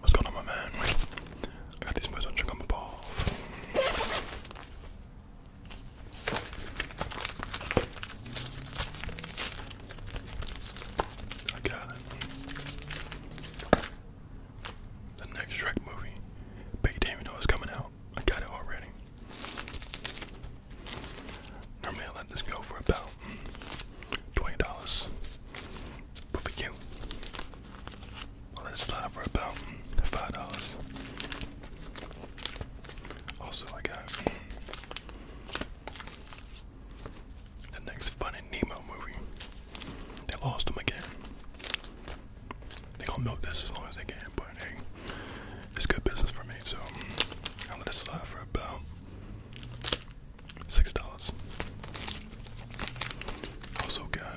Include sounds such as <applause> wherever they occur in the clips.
What's going on, my man? I got this boys on sugar I got it. The next Shrek movie. Big Damien know it's coming out. I got it already. Normally I let this go for about mm, twenty dollars. But for you, I'll let it slide for about mm, five dollars. Also I got mm, the next Finding Nemo movie. They lost him again. They gonna milk this as long as they can, but it's good business for me, so I'll let it slide for about Six dollars. Also got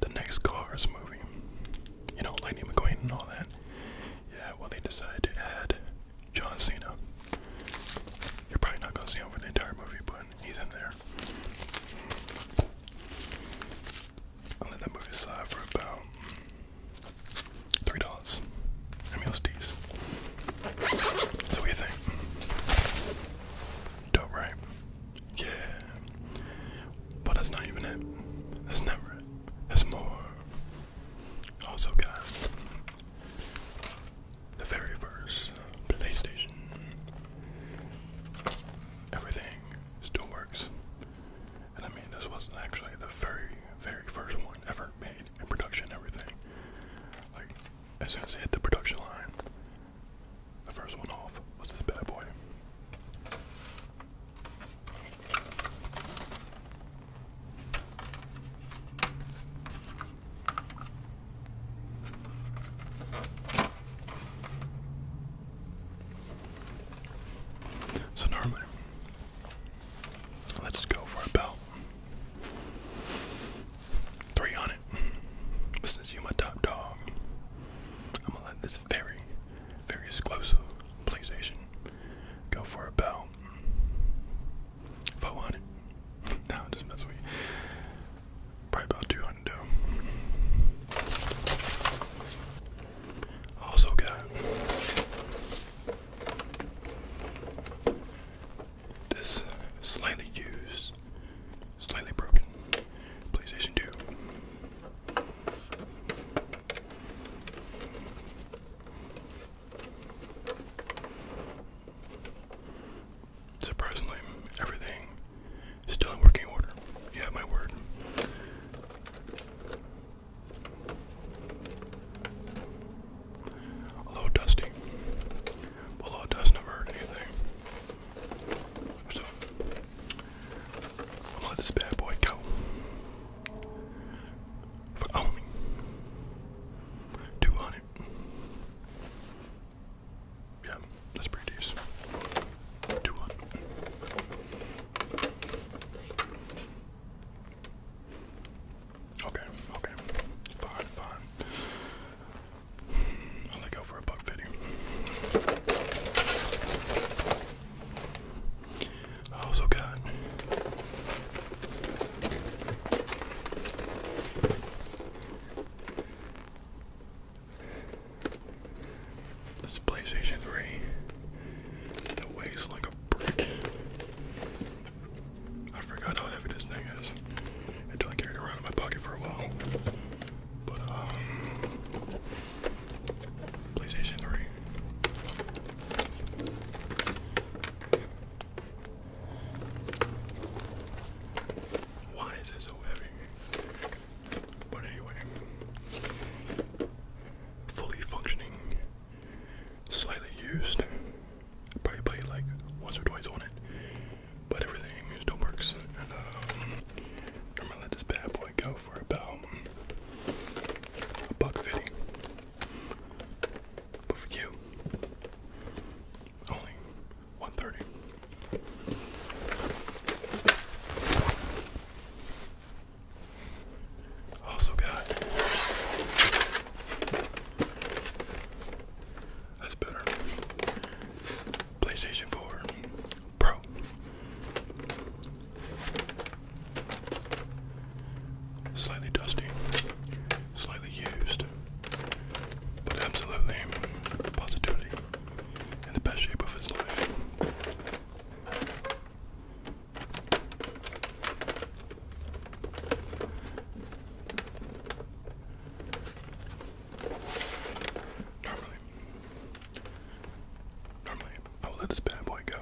the next Cars movie. You know, Lightning McQueen and all that. Yeah, well they decided to add John Cena. You're probably not gonna see him for the entire movie, but he's in there. I will let that movie slide for about three dollars. I what do you think? Dope, right? Yeah. But that's not even it. That's never it. That's more. Also, got the very first PlayStation. Everything still works. And I mean, this was not actually the very, very first one ever made in production, everything. Like, as soon as it hit the production line, the first one off was this bad boy. So normally, let's go for about three on it. But since you my top dog, I'm gonna let this very, very exclusive PlayStation go for about four on it. <laughs> no, just mess with you. Probably about 200 Also got this slightly used, slightly broken PlayStation 2. Surprisingly, everything Still in working order. Yeah, my word. Hello, Dusty. Hello, Dust. Never heard anything. So, I'll let this bad boy go. For only oh, two hundred. Yeah, that's pretty decent. 2 1. Okay, okay. Fine, fine. I'll go for a buck fitting. I also got this PlayStation 3 that weighs like a brick. I forgot how heavy this thing is until I carried it around in my pocket for a while. But um, PlayStation 3. Why is it so heavy? But anyway, fully functioning, slightly used. Probably play like once or twice on it, but everything still works. Um, I'm gonna let this bad boy go for about a buck fifty. But for you, only 1:30. Also got that's better. PlayStation 4 Pro. Slightly dusty, slightly used, but absolutely positivity in the best shape of his life. Normally, normally I will let this bad boy go.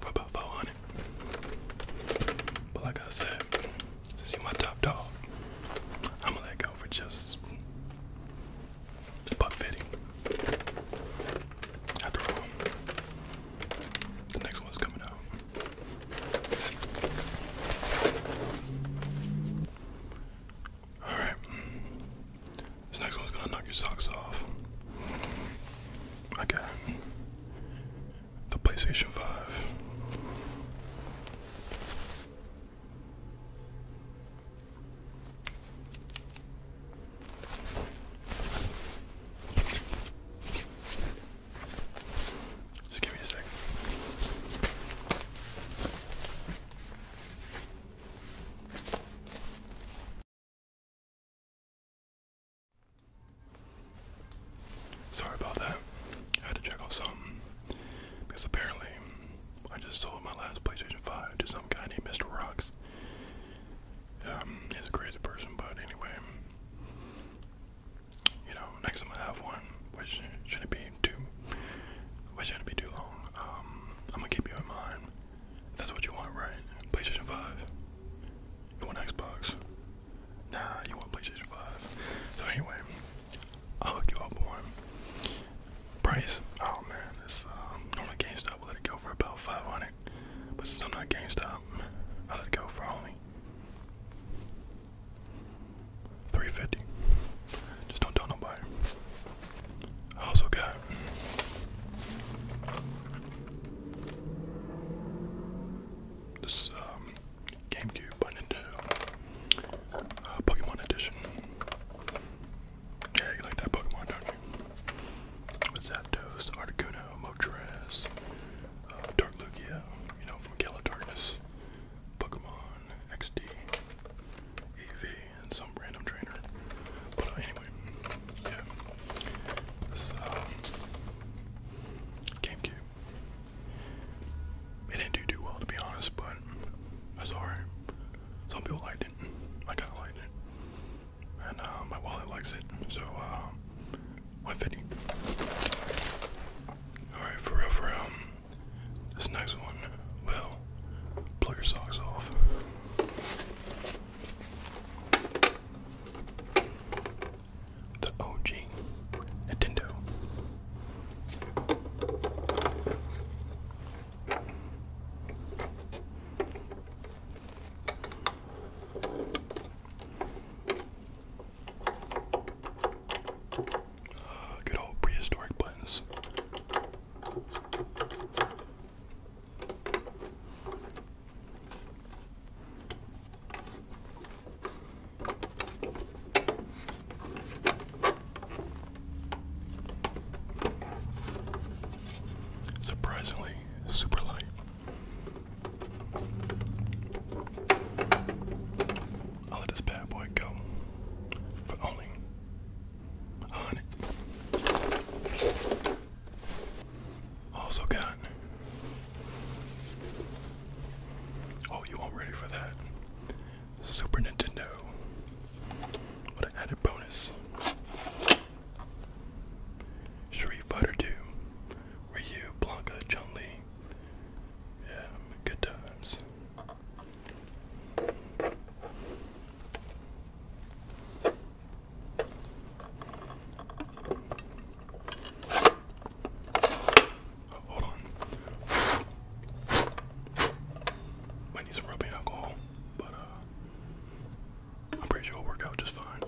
What about following it? But like I said, since you're my top dog, I'm gonna let go for just butt fitting. After all, the next one's coming out. Alright. This next one's gonna knock your socks off. I the PlayStation 5. Just give me a second. Sorry about that. I had to check out something. Because apparently, I just sold my last PlayStation 5 to some guy named Mr. Rocks. Um, he's a crazy person, but anyway. You know, next time I have one, which shouldn't be too, which shouldn't be too long, um, I'm gonna keep you in mind. That's what you want, right? PlayStation 5. You want Xbox. Nah, you want PlayStation 5. So anyway, I'll hook you up one. Price, oh man, this um, normally GameStop will let it go for about 500 But since I'm not GameStop, I let it go for only 350 Just don't tell nobody. I also got this um GameCube, by Nintendo. Uh, Pokemon Edition. Yeah, you like that Pokemon, don't you? With Zapdos, Articuno, Moltres, uh, Dark Lugia, you know, from Gala Pokemon, XD, EV, and some random trainer. But uh, anyway, yeah. This, GameCube. It didn't do too well to be honest, but that's alright. Some people liked it. I kinda liked it. And uh, my wallet likes it, so uh 150. Alright, for real for real. This next one will blow your socks off the OG Nintendo. <sighs> Good old prehistoric buttons. Surprisingly, super light. I'll let this bad boy go for only on it. Also got Oh, you aren't ready for that? Super Nintendo. What an added bonus. Street Fighter 2. Ryu, Blanca, Chun Li. Yeah, good times. Hold need some rubbing alcohol, but uh, I'm pretty sure it'll work out just fine.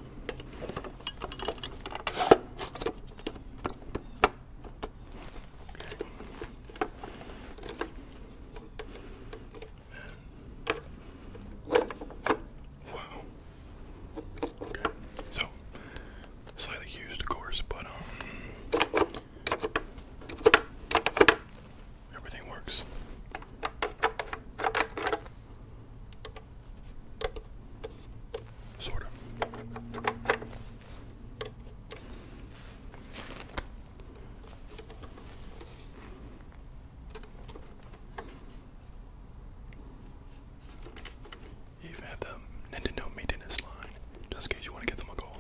wow so slightly used, of course, but um, everything works. Sort of. You even have the Nintendo maintenance line, just in case you want to give them a call.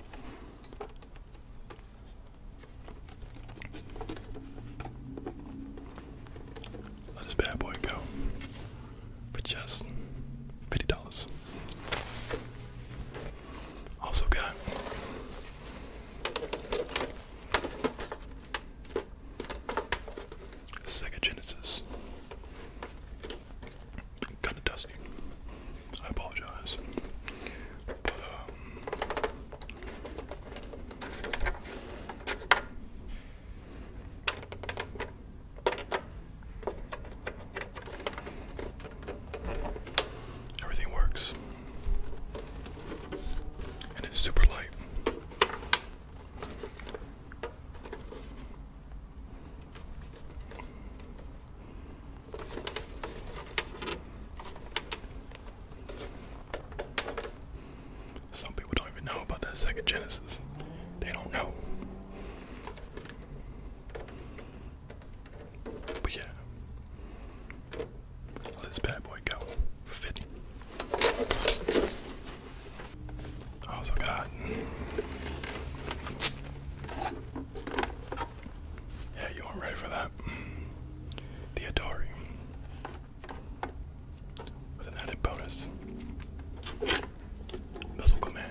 Let this bad boy go for just fifty dollars. Also got Sega Genesis. Kinda dusty. I apologize. Um, everything works. And it's super light. Some people don't even know about that Sega Genesis. They don't know. But yeah. Let this bad boy go. For I oh, also got yeah, you weren't ready for that. The Atari with an added bonus. Missile command.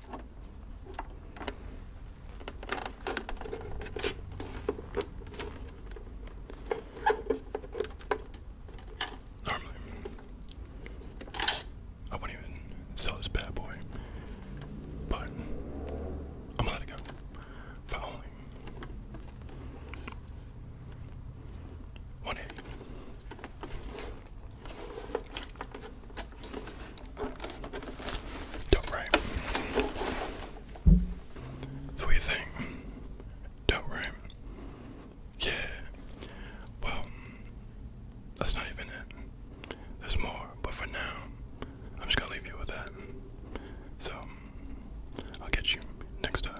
Normally, I wouldn't even sell this bad boy, but I'm going go for only one eighty. Don't right. So what do not right. Yeah. Well, that's not even it. There's more, but for now, I'm just gonna leave you with that. So, I'll get you next time.